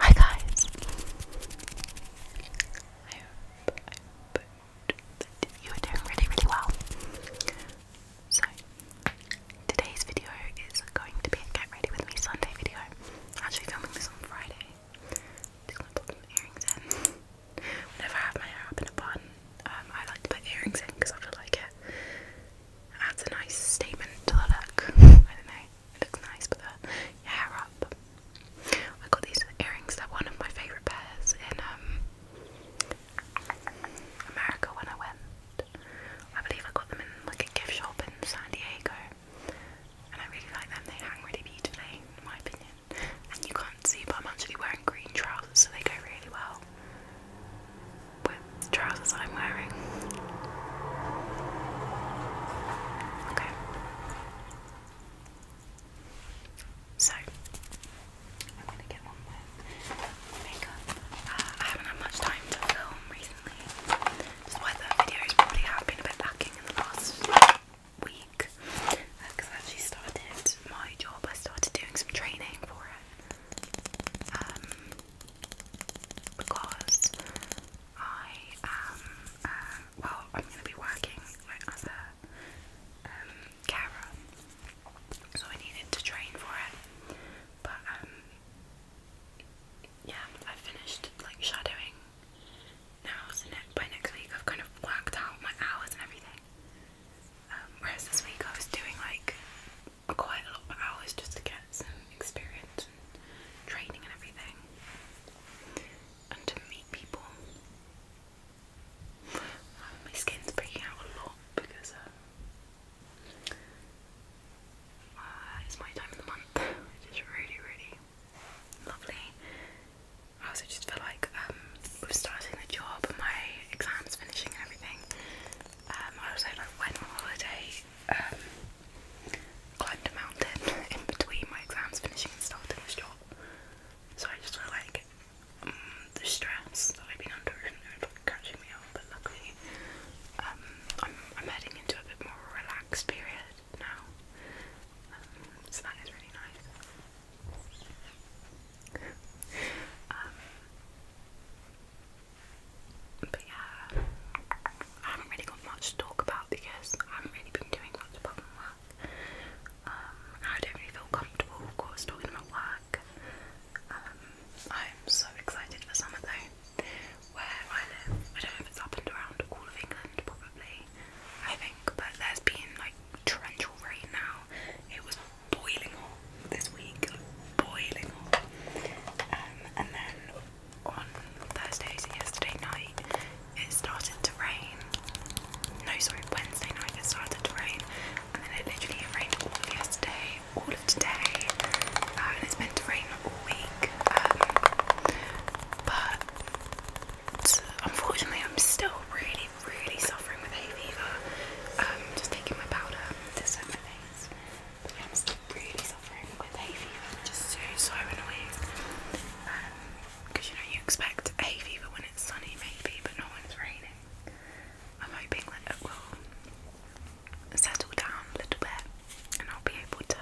Hi guys! you are doing really, really well. So, today's video is going to be a Get Ready With Me Sunday video. I'm actually filming this on Friday. Just have my hair up in a bun, um, I like to put earrings in because I feel like it that's a nice statement to the look. I don't know, it looks nice with uh, the hair up. I got these earrings, that are one of my favourite pairs in um, America when I went. I believe I got them in like a gift shop in San Diego. And I really like them, they hang really beautifully, in my opinion. And you can't see, but I'm actually wearing green trousers, so they go really well with the trousers I'm wearing. Okay. So, I'm gonna get on with makeup. Uh, I haven't had much time to film recently. That's why videos probably have been a bit lacking in the last week. Because uh, I actually started my job, I started doing some training for it. Um, because I am, uh, well, I'm going to be working as a um, so I needed to train for it. But um, yeah, I finished like shadowing now, by next week I've kind of worked out my hours and everything. Um, whereas this week I was doing like quite a lot of hours just to get some experience training and everything, and to meet people. my skin's breaking out a lot because uh, uh, it's my time of the month, which is really, really lovely. I also just feel like um, with starting the job and my exams finishing and everything, um, I also went on holiday, um, climbed a mountain in between my exams, finishing and starting this job. So I just feel like um, the stress that I've been under is like, catching me but luckily I'm, I'm heading into a bit more relaxed period now. so that is really nice. But yeah, I haven't really got much to talk about because I haven't really been doing much apart work. Um, I don't really feel comfortable, of course, talking about work. Um, I'm so excited for summer though. Where I live, I don't know if it's up and around all of England, probably. I think, but there's been like torrential rain now. It was boiling hot this week, boiling hot. Um, and then on Thursdays yesterday night it started to rain. No, sorry, Wednesday night it started to rain, and then it literally rained all of yesterday, all of today, and um, it's meant to rain all week. Um, but unfortunately, I'm still really, really suffering with hay fever. Um, just taking my powder to set really suffering with hay fever, which so so annoying. Because um, you know you expect hay fever when it's sunny, maybe, but not it's raining. I'm hoping that it will settle down a little bit, and I'll be able to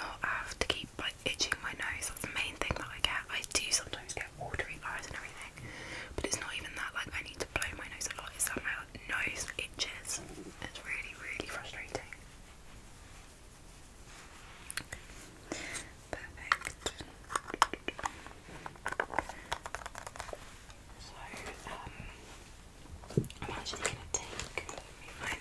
not have to keep like itching my nose. That's the main thing that I get. I do sometimes get watery eyes and everything, but it's not even that. Like I need to blow my nose a lot. It's that my nose itches. It's really, really frustrating. Perfect. So, um, I'm actually going to take, my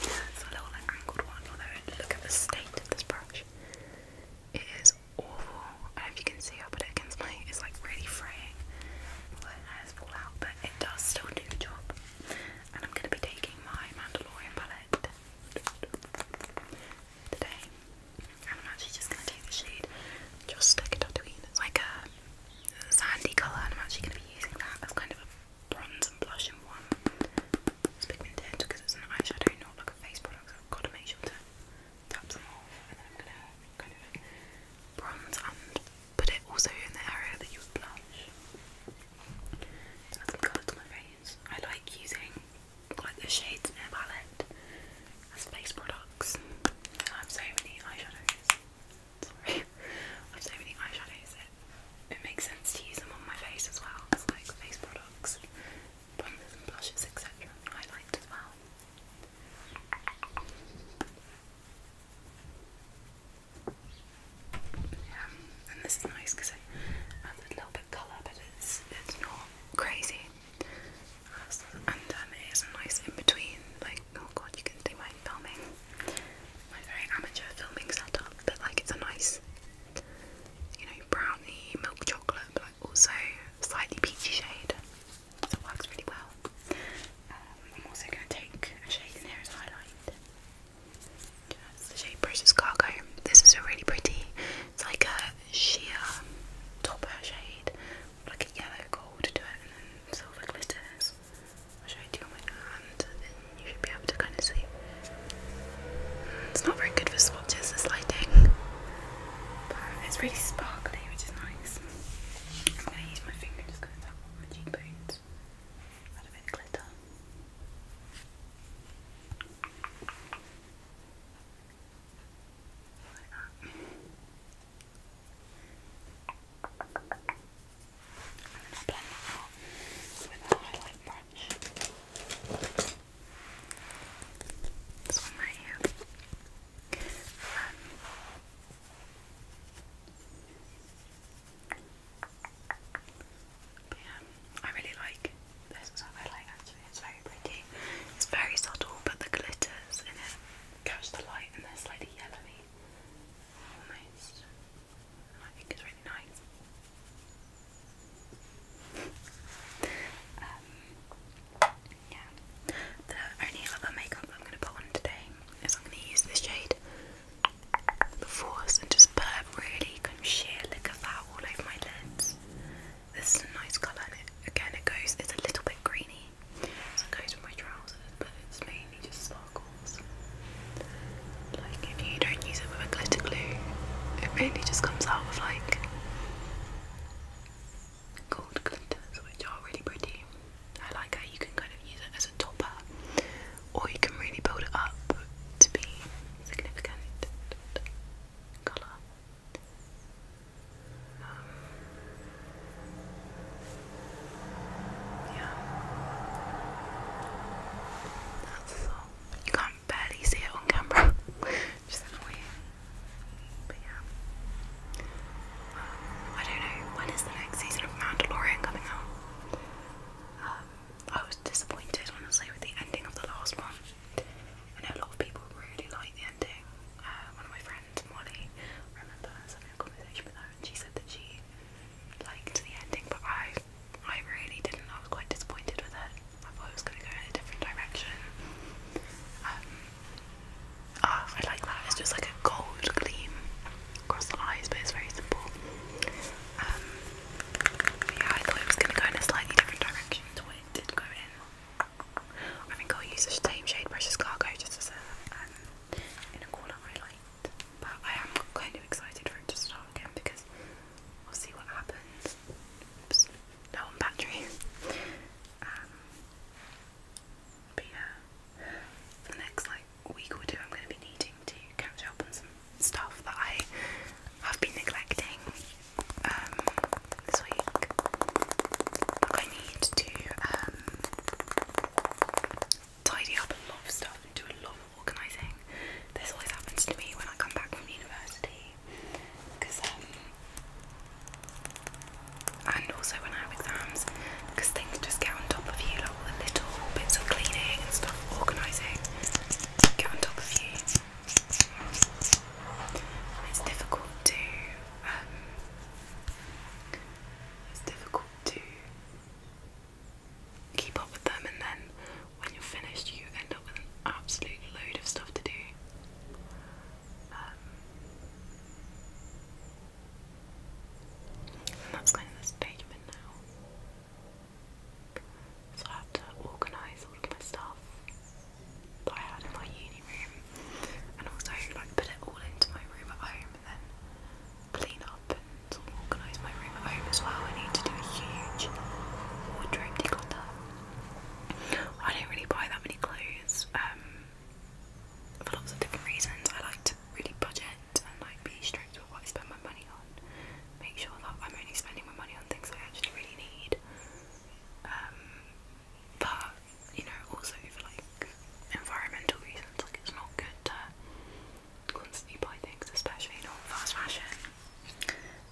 it's a little like angled one, although look at the state of this brush. It is awful. I don't know if you can see, i it against my it's like really fraying. My hairs fall out, but it does still do the job. And I'm gonna be taking my Mandalorian palette today. And I'm actually just gonna take the shade, just stick it between. It's like a sandy colour and I'm actually gonna be using that as kind of a bronze and blush in one. It's pigmented because it's an eyeshadow, not like a face product. i got to make sure to tap them off, and I'm gonna kind of bronze and put it also in the area that you would blush. To add some colour to I like using like the shades in a palette as face products. I have so many eyeshadows. I have so many eyeshadows it makes sense to use them on my face as well like face products, primers and blushes, etc. Highlight as well. Yeah, and this is nice because it adds a little bit of colour, but it's it's not crazy. And um, it is nice in between. Like, oh god, you can see my filming, my very amateur filming setup, but like it's a nice you know, brownie, milk chocolate, but like also slightly peachy shade. So works really well. Um, I'm also going to take a shade in highlight. That's the shade Precious Cargo. This is a really pretty, it's like a sheer topper shade, like a yellow gold to it, and then silver glitters. I'll show you on my hand you should be able to kind of see. It's not very good for swatches, this lighting. But it's really sparkly, which is nice. I'm going to use my finger just going to tap on my cheekbones. Add a bit of glitter. Like that. And then blend that out with a highlight um, I really like this is what I like actually, it's very pretty. It's very subtle but the glitters in it catch the light and they're slightly yellowy almost. Um, the only other makeup I'm going to put on today is I'm going to use this shade, The Force, and just put really kind of sheer look that all over my lids. This is a nice colour, and it, again, it goes, it's a little bit greeny, so it goes with my trousers, but it's mainly just sparkles. Like if you don't use it with a glitter glue, it really just comes out with like gold glitters, which are really pretty. I like how you can kind of use it as a topper, or you can really build it up to be significant colour. Um, yeah, that's all. You can't barely see it on camera. Just annoying. But yeah. Um, I don't know, when is the next season of Mandalorian coming out? Um, I was disappointed honestly with the ending of the last one. I a lot of people really liked the ending. Uh, one of my friends, Molly, remember I a conversation with her and she said that she liked the ending, but I I really didn't. I was quite disappointed with it. I thought it was going to go in a different direction. Um, ah, I like that. It's just like a gold gleam across the eyes, but it's very simple. Um, yeah, I thought it was going to go in a slightly different direction to it did go in. I think I'll use the same shade Precious Cargo just as a um, in a corner highlight. But I am kind of excited for it to start again because We'll see what happens. Oops, no battery. Um, but yeah, for the next like week or two, I'm going to be needing to catch up on some stuff that I have been neglecting um, this week. I need to um, tidy up a lot of stuff and do a lot organising. This always happens to me when I come back from university because um and also when I have exams because things just get on top of you, like all the little bits of cleaning and stuff, organising get on top of you. It's difficult to um it's difficult to keep up with them, and then when you're finished, you end up with an absolute load of stuff to do. Um, and that's kind of the stage I'm in now. So I have to organise all of my stuff that I had in my uni room and also like put it all into my room at home and then clean up and organise my as well. I need to do a huge wardrobe declutter. I don't really buy that many clothes um, for lots of different reasons. I like to really budget and like be strict with what I spend my money on. Make sure that I'm only spending my money on things I actually really need. Um, but you know, also for like environmental reasons, like it's not good to constantly buy things, especially not fast fashion.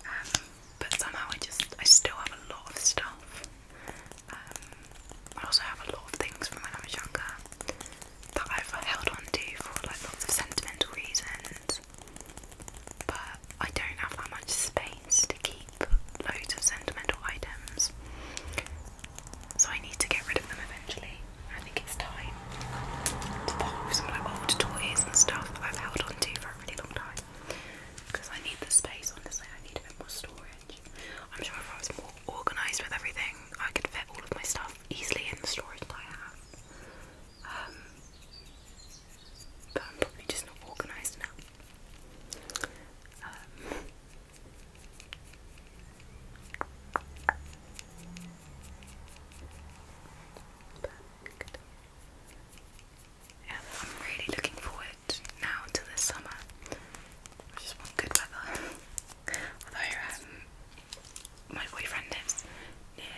Um, but somehow I just I still have a lot of stuff. Um, I also have a lot of things from when I was younger that I've held on to for like lots of sentimental reasons. But I don't have that much space to keep loads of sentimental items. So I need to get rid of them eventually. I think it's time to part with some like old toys and stuff that I've held on onto for a really long time because I need the space, honestly. I need a bit more storage. I'm sure if I was more organised with everything, I could fit all of my stuff easily in the storage that I have. Um, but I'm probably just not organised enough. Um, and I'm really looking forward now to this summer. I just want good weather. Although um, my boyfriend lives near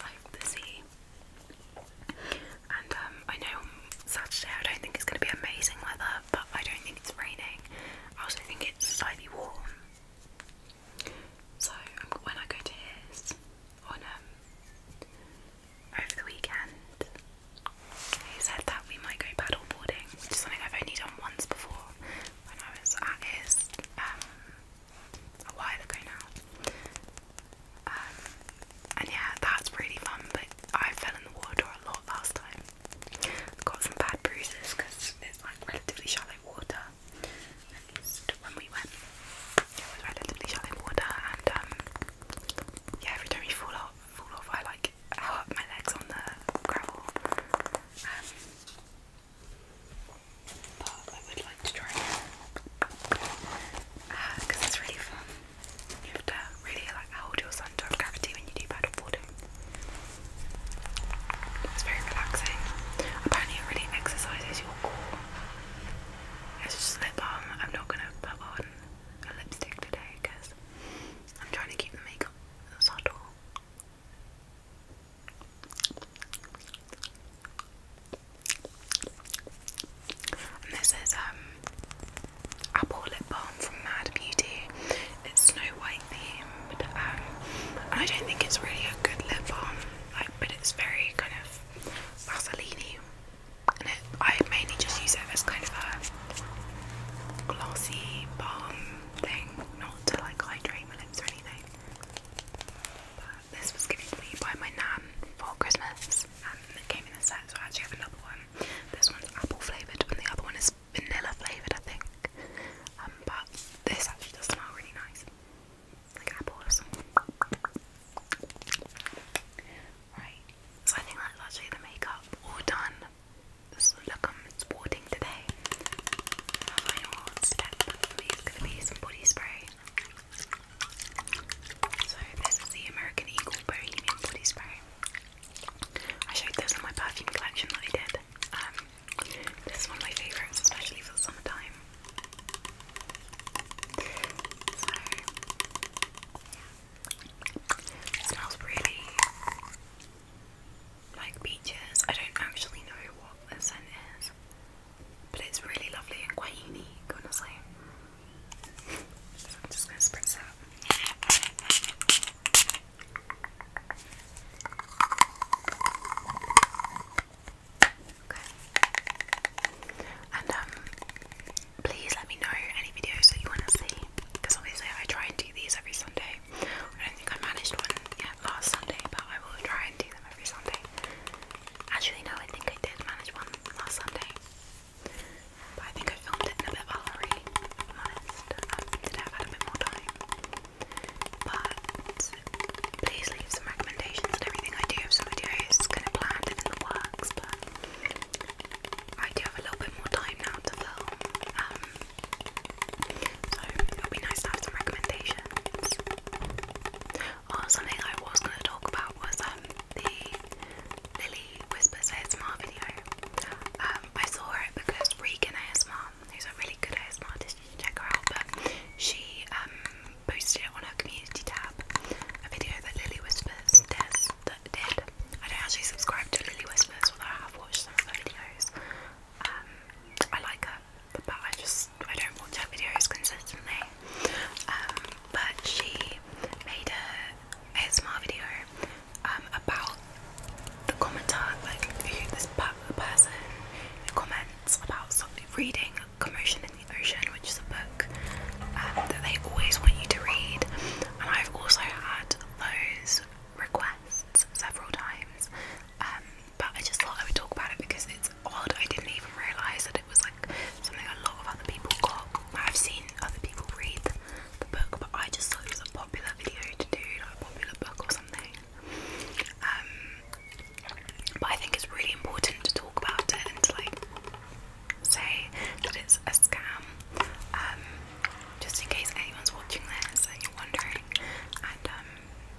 like the sea, and um, I know Saturday I don't think it's going to be amazing weather, but I don't think it's raining. I also think it's slightly warm. So um, when I go to his on um over the weekend, he said that we might go paddle boarding, which is something I've only done once before when I was at his um a while ago now. Um, and yeah, that's really fun, but I fell in the water a lot last time. I've got some bad bruises because it's like relatively shallow water at when we went it was relatively shallow water and um, yeah every time you fall off fall off I like hurt my legs on the gravel um, but I would like to try it because uh, it's really fun you have to really like hold your centre of gravity when you do paddle it's very relaxing apparently it really exercises your core it's just lip balm. Um, I'm not gonna put on a lipstick today because I'm trying to keep the makeup subtle. And this is um apple lip balm from Mad Beauty. It's Snow White themed, um, and I don't think it's really a good lip balm, like, but it's very kind of Vaseline and I mainly just use it as kind of a glossy balm thing, not to like hydrate my lips or anything. But this was given to me by my nan for Christmas and it came in a set, so I actually have another one. This one's apple flavoured and the other one is vanilla flavoured, I think. Um, but this actually does smell really nice. Right, so I think that's actually the makeup all done. This look I'm sporting today. My final gonna be some body spray. So this is the American Eagle Bohemian Body Spray. I showed this in my perfume collection that I did. Um, this is one of my favourites, especially for the summertime smells really like peaches. I don't actually know what the scent is, but it's really lovely and quite unique, honestly. so I'm just gonna spritz up. And um, please let me know any videos that you want to see, because obviously I try and do these every Sunday. I don't think I managed one yet last Sunday, but I will try and do them every Sunday. Actually, no, I think I did manage one last Sunday. But I think I filmed it in a bit of a hurry, if I'm honest. I um, have had a bit more time. But please leave some recommendations and everything. I do have some videos kind of planned in the works, but I do have a little bit more time now to film. Um, so it'll be nice to have some recommendations. Or oh, something I was going to talk about was um the Lily Whispers ASMR video. Um, I saw it because Regan ASMR, who's a really good ASMR artist, you check her out, but she um posted it on her community tab, a video that Lily Whispers does, that did. I don't actually subscribe to Lily Whispers, although I have watched some of her videos. Um, I like her, but I just I don't watch her videos consistently. Um, but she made a ASMR video um, about the commenter, like who this per person who comments about something, reading Commotion in the Ocean, which is a book um, that they always want you to read, and I've also had those requests several times. Um, but I just thought I would talk about it because it's odd. I didn't even realise that it was like something a lot of other people got. I've seen other people read the book, but I just thought it was a popular video to do, like a popular book or something. Um, but I think it's really important to talk about it and to like say that it's a scam. Um, just in case anyone's watching this and you're wondering. Um,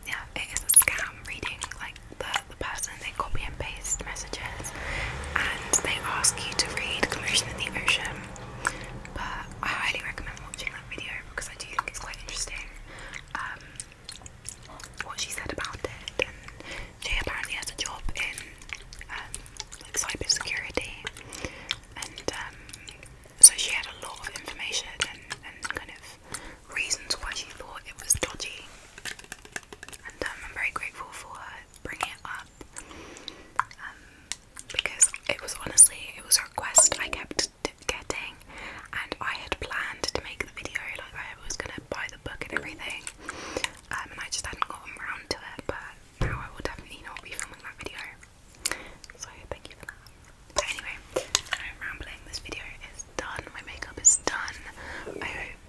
yeah, it is a scam reading like the, the person they copy and paste messages and they ask you to read Commotion in the Ocean. But I highly recommend watching that video because I do think it's quite interesting. Um, what she said about it. she apparently has a job in um, and um, so she had a lot of information and, kind of reasons why she thought it was dodgy. And um, I'm very grateful for her bringing it up. Um, because it was honestly, it was a request I kept getting, and I had planned to make video, like I was gonna buy the book and everything, um, and I just hadn't gotten around to it, but now I will definitely not be filming that video, so thank you for that. But anyway, I'm rambling, this video is done, my makeup is done, I hope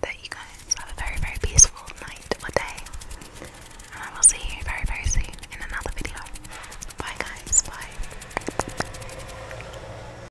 that you guys have a very, very peaceful night or day, and I will see you very, very soon in another video. Bye guys, bye.